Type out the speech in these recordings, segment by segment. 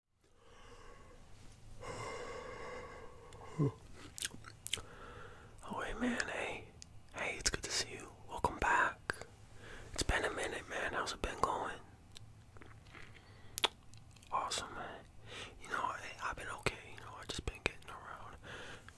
Oh hey man, hey. Hey, it's good to see you. Welcome back. It's been a minute, man. How's it been going? Awesome, man. You know, I, I've been okay. You know, I've just been getting around.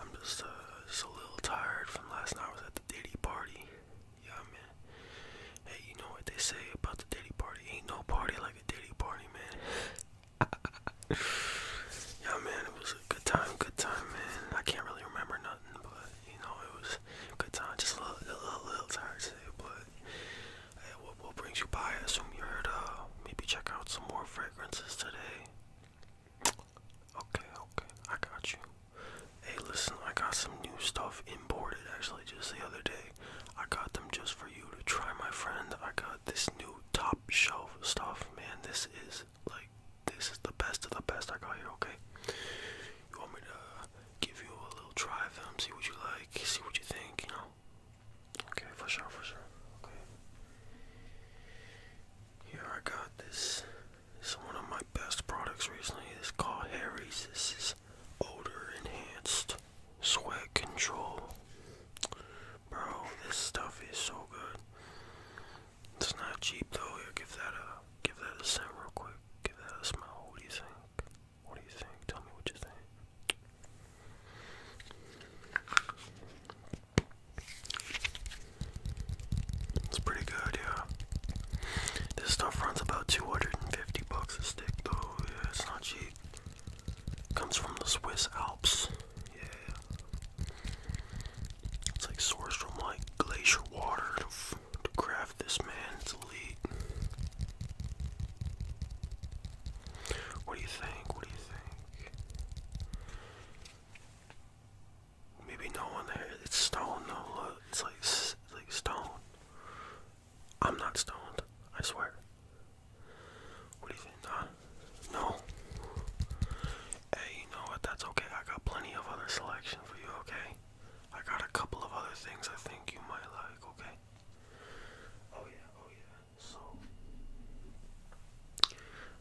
I'm just, uh, just a little tired from last night. I was at the Diddy party. Yeah, man. Hey, you know what they say about the Diddy party? Ain't no party like a Diddy party, man. yeah, man, it was a good time, good time, man. I can't really remember nothing, but you know, it was a good time. Just a little, little, little tired today, but hey, what, brings you by? I assume you heard, to maybe check out some more fragrances today. Okay, okay, I got you. Hey, listen, I got some new stuff imported actually just the other day. I got them just for you to try, my friend. I got this new top shelf stuff, man. This is like, this is the best of the best I got here, okay? You want me to give you a little try of them, see what you like, see what you think, you know? Okay, for sure, for sure. Okay. Here I got this. This is one of my best products recently. It's called Harry's. This is odor enhanced, sweat control. Bro, this stuff is so good. It's not cheap though. Here, give that a give that a scent real quick. Give that a smell. What do you think? What do you think? Tell me what you think. It's pretty good, yeah. This stuff runs about 250 bucks a stick though. Yeah, it's not cheap. Comes from the Swiss Alps. Yeah. It's like sourced from like glacier water to, craft this man. It's elite. What do you think? What do you think? Maybe no one there. It's stone No, Look, it's like like stone. I'm not stoned. I swear. What do you think? Nah, no. Hey, you know what? That's okay. I got plenty of other selection for you. Okay. I got a couple of other things I think you might like. Okay. Oh yeah. Oh yeah. So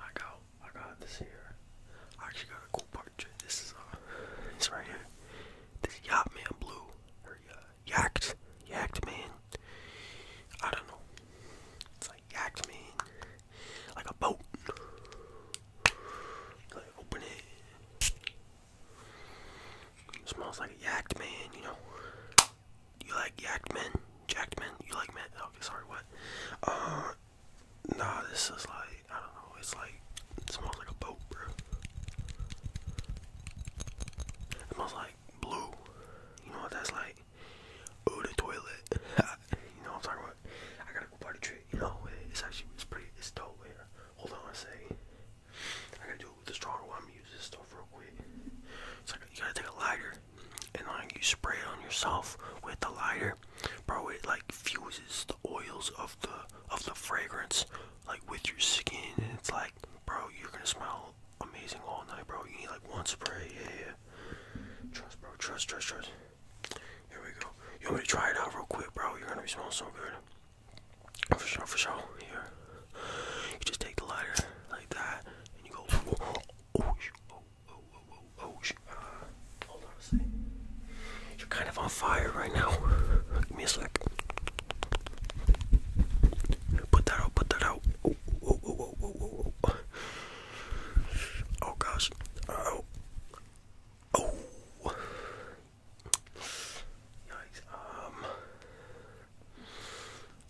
I got I got this here. I actually got a cool part this is uh, it's right here. This yacht man blue or uh, yacht yacht man. I don't know. It's like yacht man, like a boat. open it. Smells like a yacht man, you know. You like yacht men? Jacked men? You like men? Okay, sorry, what? Uh, Nah, this is like I don't know. It's like it smells like a boat, bro. It smells like blue. You know what that's like? Oh, the toilet. you know what I'm talking about? I gotta go buy the trick. You know it's actually it's pretty. It's dope. Hold on I say. I gotta do it with the stronger one. I'm gonna use this stuff real quick. So you gotta take a lighter and like you spray it on yourself with the lighter, bro, it like fuses the oils of the of the fragrance like with your skin, and it's like, bro, you're gonna smell amazing all night, bro. You need like one spray, yeah, yeah. Trust, bro, trust, trust, trust. Here we go. You want me to try it out real quick, bro? You're gonna be smelling so good. For sure, for sure. Here. You just take the lighter like that and you go. oh, oh oh, oh, oh, oh, hold on a 2nd kind of on fire right now. Give me a sec. Put that out, put that out. Oh, oh, oh, oh, oh, oh, oh. Oh, gosh. Oh. Oh. Yikes. Um.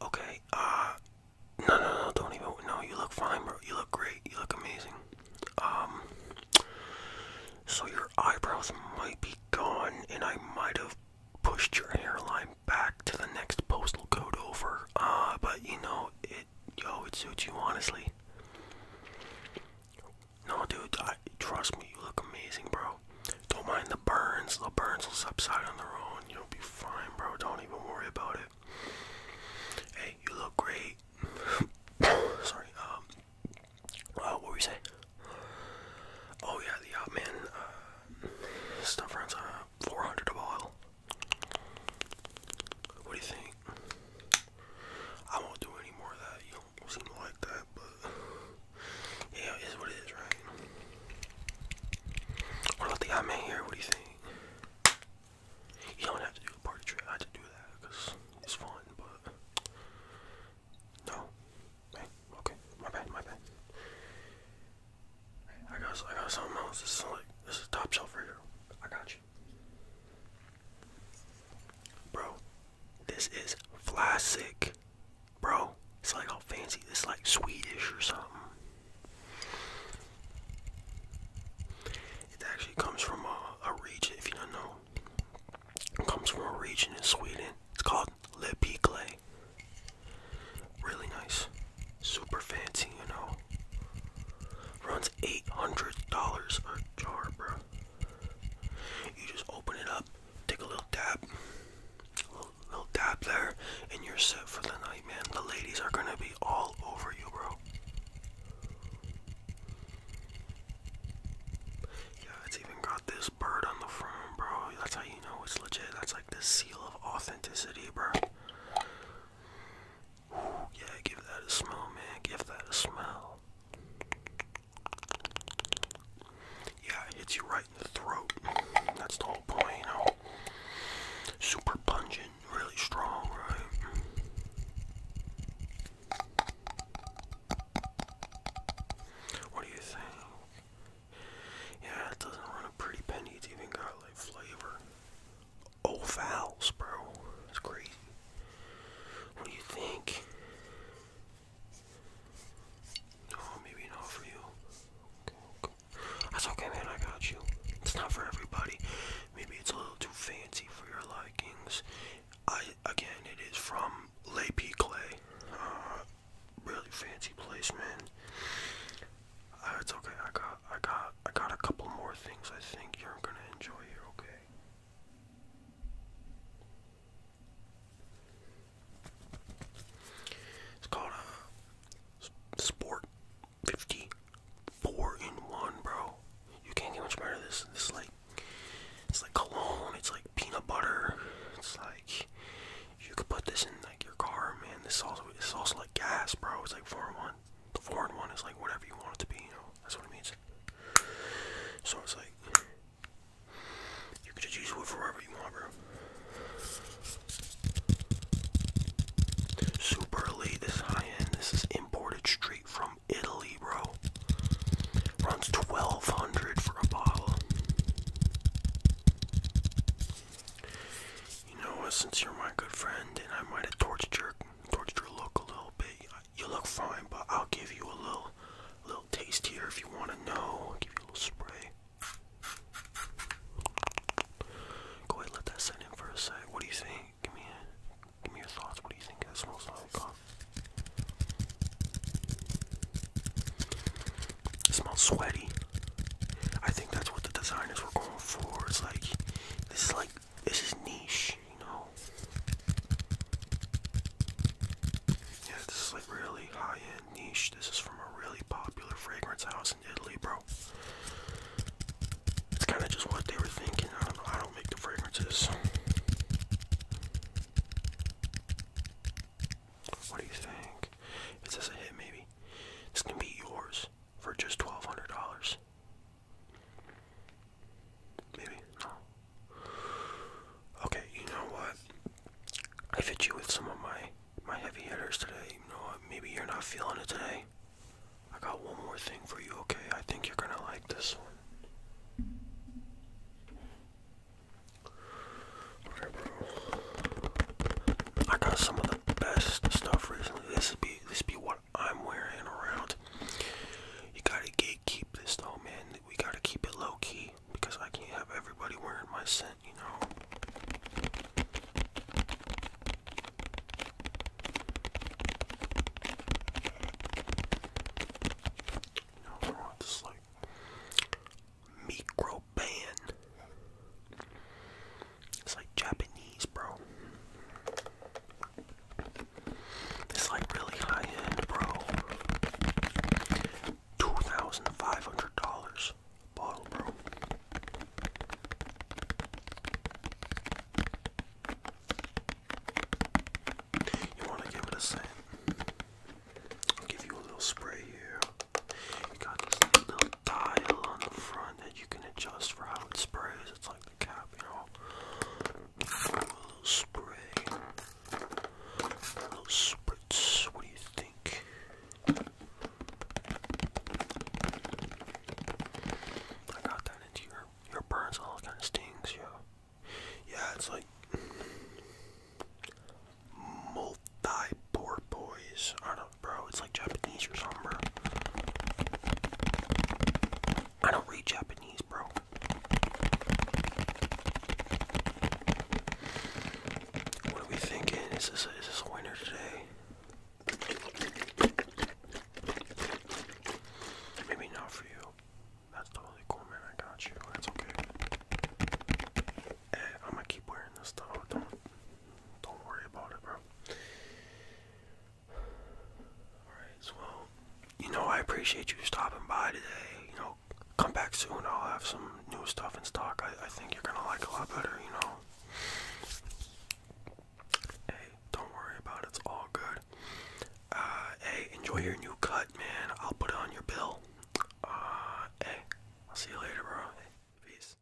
Okay, uh, no, no, no, don't even. No, you look fine, bro. You look great. You look amazing. Um, so your eyebrows might be gone, and I might have pushed your hairline back to the next postal code over. Uh, but you know, it, yo, it suits you, honestly. No, dude, I, trust me, you look amazing, bro. Don't mind the burns. The burns will subside on their own. You'll be fine, bro. Don't even worry about it. Hey, you look great. Sorry. Um. Uh, what were we saying? Oh yeah, the Outman uh, uh, stuff runs uh 400 a bottle. What do you think? I won't do any more of that. You don't seem like that, but yeah, it is what right? Well, I think I'm in here. What do you think? You don't have to do a party trick. I just do that it's fun, but no. Hey, okay, my bad, my bad. I got, I got something else. This is like, this is top shelf right here. I got you, bro. This is fly Bro, it's like all fancy. It's like Swedish or something. It actually comes from a, region, if you don't know. It comes from a region in Sweden. It's called Lepikle. Really nice. Super fancy, you know. Runs $800 a jar, bro. You just open it up Take a little dab, little, dab there, and you're set for the night, man. The ladies are gonna be all over you, bro. Yeah, it's even got this bird on the front, bro. That's how you know it's legit. That's like the seal of authenticity, bro. Ooh, yeah, give that a smell, man. Give that a smell. Yeah, it hits you right in the throat. That's the whole point, you know. Super pungent, really strong, What do you think? Yeah, it doesn't run a pretty penny. It's even got like flavor. Oh, vowels, bro. That's crazy. What do you think? No, oh, maybe not for you. That's okay, man. I got you. It's not for everybody. Maybe it's a little too fancy for your likings. I again, it is from Le P Clay. Uh, really fancy placement. Uh, it's okay. I got, I got, I got a couple more things. I think you're gonna enjoy here. Okay. It's called a uh, Sport 50 four in one, bro. You can't get much better than this. This is like it's like cologne. It's like peanut butter. It's like you could put this in like your car, man. This is also it's also like gas, bro. It's like four in one. The four in one is like whatever you want it to be. You know, that's what it means. So it's like you can just use wood for wherever you moron. Super elite, this is high end. This is imported straight from Italy, bro. Runs 1200 for a bottle. You know what, since you're my good friend and I might have tortured your, tortured your look a little bit, you look fine, but I'll give you a little, little taste here if you want to know. I'll give you a little spray. Go ahead, let that set in for a sec. What do you think? Give me, a, give me your thoughts. What do you think that smells like? smells sweaty. I think that's what the designers were going for. It's like this is like this is niche you know. Yeah, this is like really high end niche. This is from a really popular fragrance house in Italy, bro. It's kind of just what they were thinking. I don't know. I don't make the fragrances. What do you think? Is this a hit, maybe? This can be yours for just $1,200. Maybe? No. Okay, you know what? I fit you with some of my my heavy hitters today. You know Maybe you're not feeling it today. I got one more thing for you, okay? I think you're gonna like this one. I got some of the best stuff recently. This be this be what I'm wearing around. You gotta get, this though, man. We gotta keep it low key because I can't have everybody wearing my scent, you know. You know, like micro band. It's like Japanese, bro. It's like really high end, bro. $2,500 bottle, bro. You want to give it a scent? I'll give you a little spray here. You got this little dial on the front that you can adjust for how it sprays. A little spray. A little spritz. What do you think? I got that into your your burns all kind of stings, yeah. Yeah, it's like multi-porpoise. boys bro. It's like Japanese or something, I don't read Japanese, bro. What are we thinking? Is this is this a today? Maybe not for you. That's totally cool, man. I got you. That's okay. Eh, I'm gonna keep wearing this though. Don't don't worry about it, bro. Alright, so you know, I appreciate you stopping by today. You know, come back soon. I'll have some new stuff in stock. I, think you're gonna like a lot better, you know. Hey, don't worry about it. It's all good. Uh, hey, enjoy your new cut, man. I'll put it on your bill. Uh, hey, I'll see you later, bro. peace.